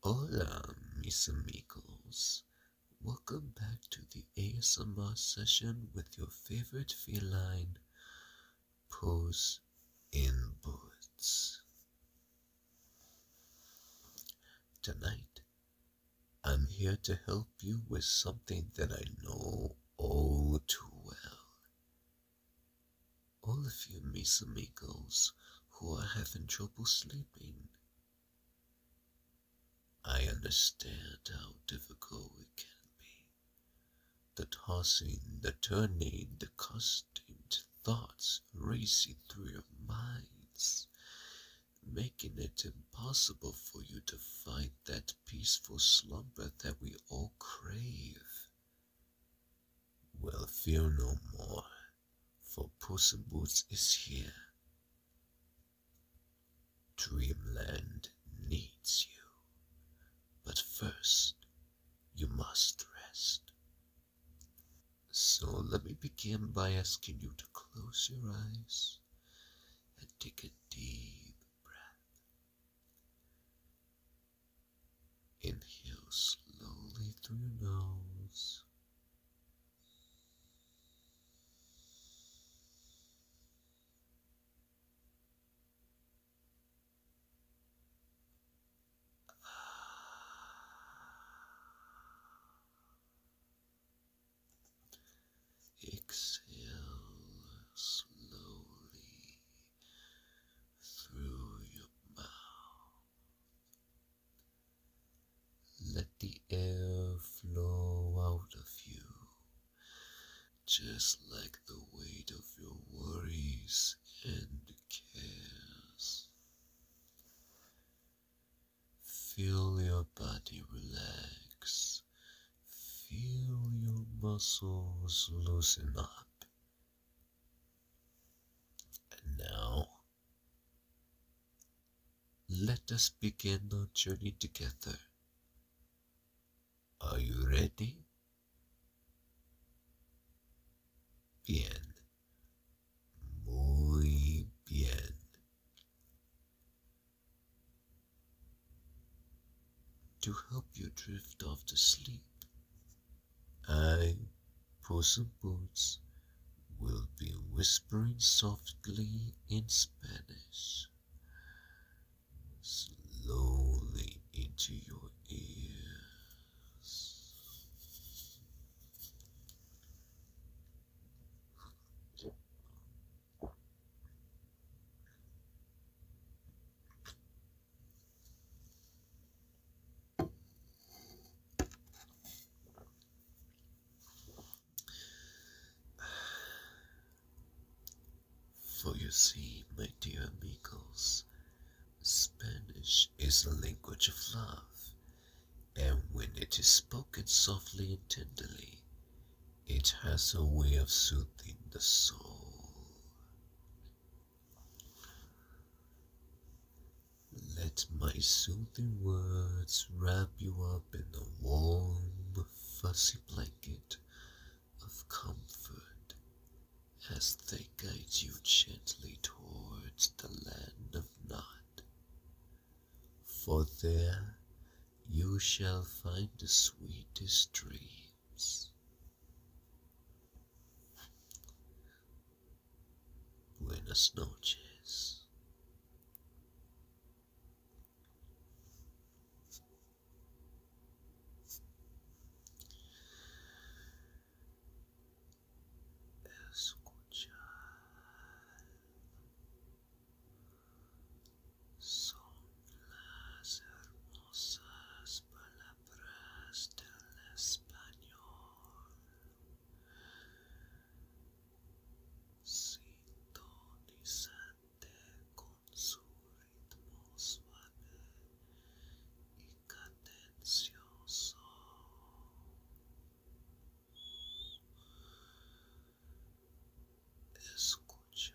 Hola, mis amigos. Welcome back to the ASMR session with your favorite feline, Pose in Boots. Tonight, I'm here to help you with something that I know all too well all of you misamigos, who are having trouble sleeping. I understand how difficult it can be. The tossing, the turning, the constant thoughts racing through your minds, making it impossible for you to find that peaceful slumber that we all crave. Well, fear no more for Puss in Boots is here. Dreamland needs you, but first you must rest. So let me begin by asking you to close your eyes and take a deep breath. Inhale slowly through your nose. Exhale slowly through your mouth. Let the air flow out of you, just like the weight of your worries and cares. Feel your body relax, feel your muscles loosen up and now, let us begin our journey together. Are you ready? Bien. Muy bien. To help you drift off to sleep, I, Puss in Boots, will be whispering softly in Spanish, slowly into your ears. For you see, my dear amigos, Spanish is the language of love, and when it is spoken softly and tenderly, it has a way of soothing the soul. Let my soothing words wrap you up in the warm, fussy blanket of comfort as they guide you gently towards the land of Nod. For there you shall find the sweetest dreams. Buenas noches. são las hermosas palavras. palabras del español. Sintonizante con su ritmo suave y cadencioso. Escucha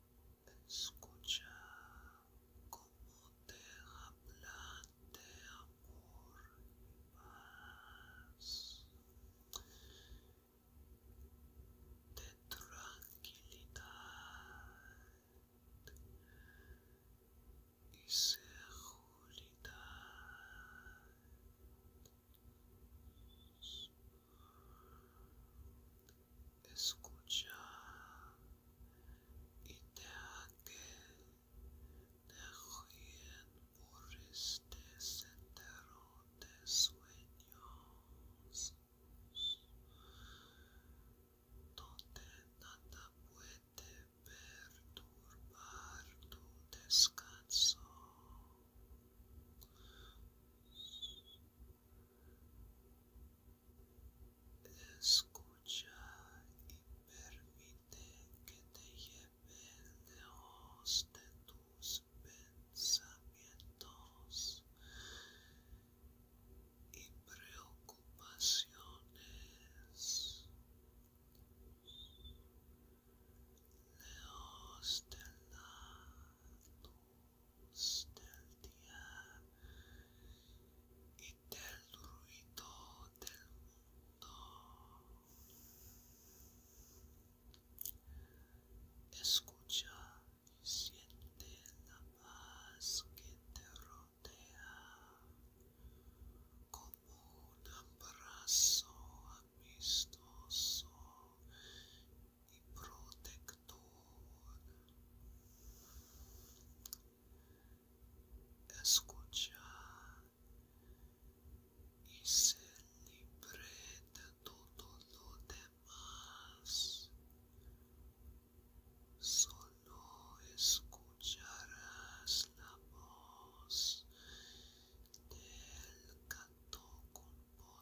Escucha cómo te hablan de amor y paz, de tranquilidad y seguridad. Escucha y te haga de ruin por de sueños donde nada puede perturbar tu descanso Escucha y permite que te lleve lejos de tus pensamientos y preocupaciones. lejos de del día y del ruido del mundo. Escucha y siente la paz que te rodea como un abrazo amistoso e protectora. Escuchad y ser libre de todo lo demás. Solo escucharás la voz del con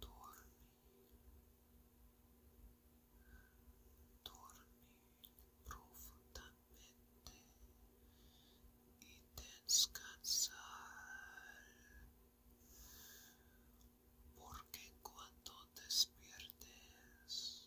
dormir, dormir profundamente y descansar, porque cuando despiertes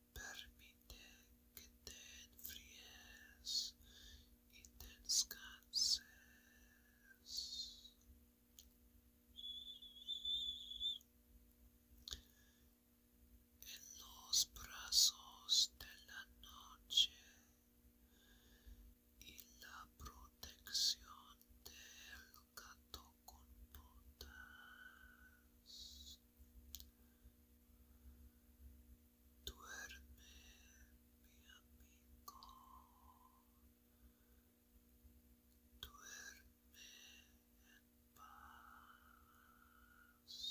Permite que te enfríes y te descanses. En los brazos de la noche y la protección del gato Duerme, mi amigo. Duerme en paz.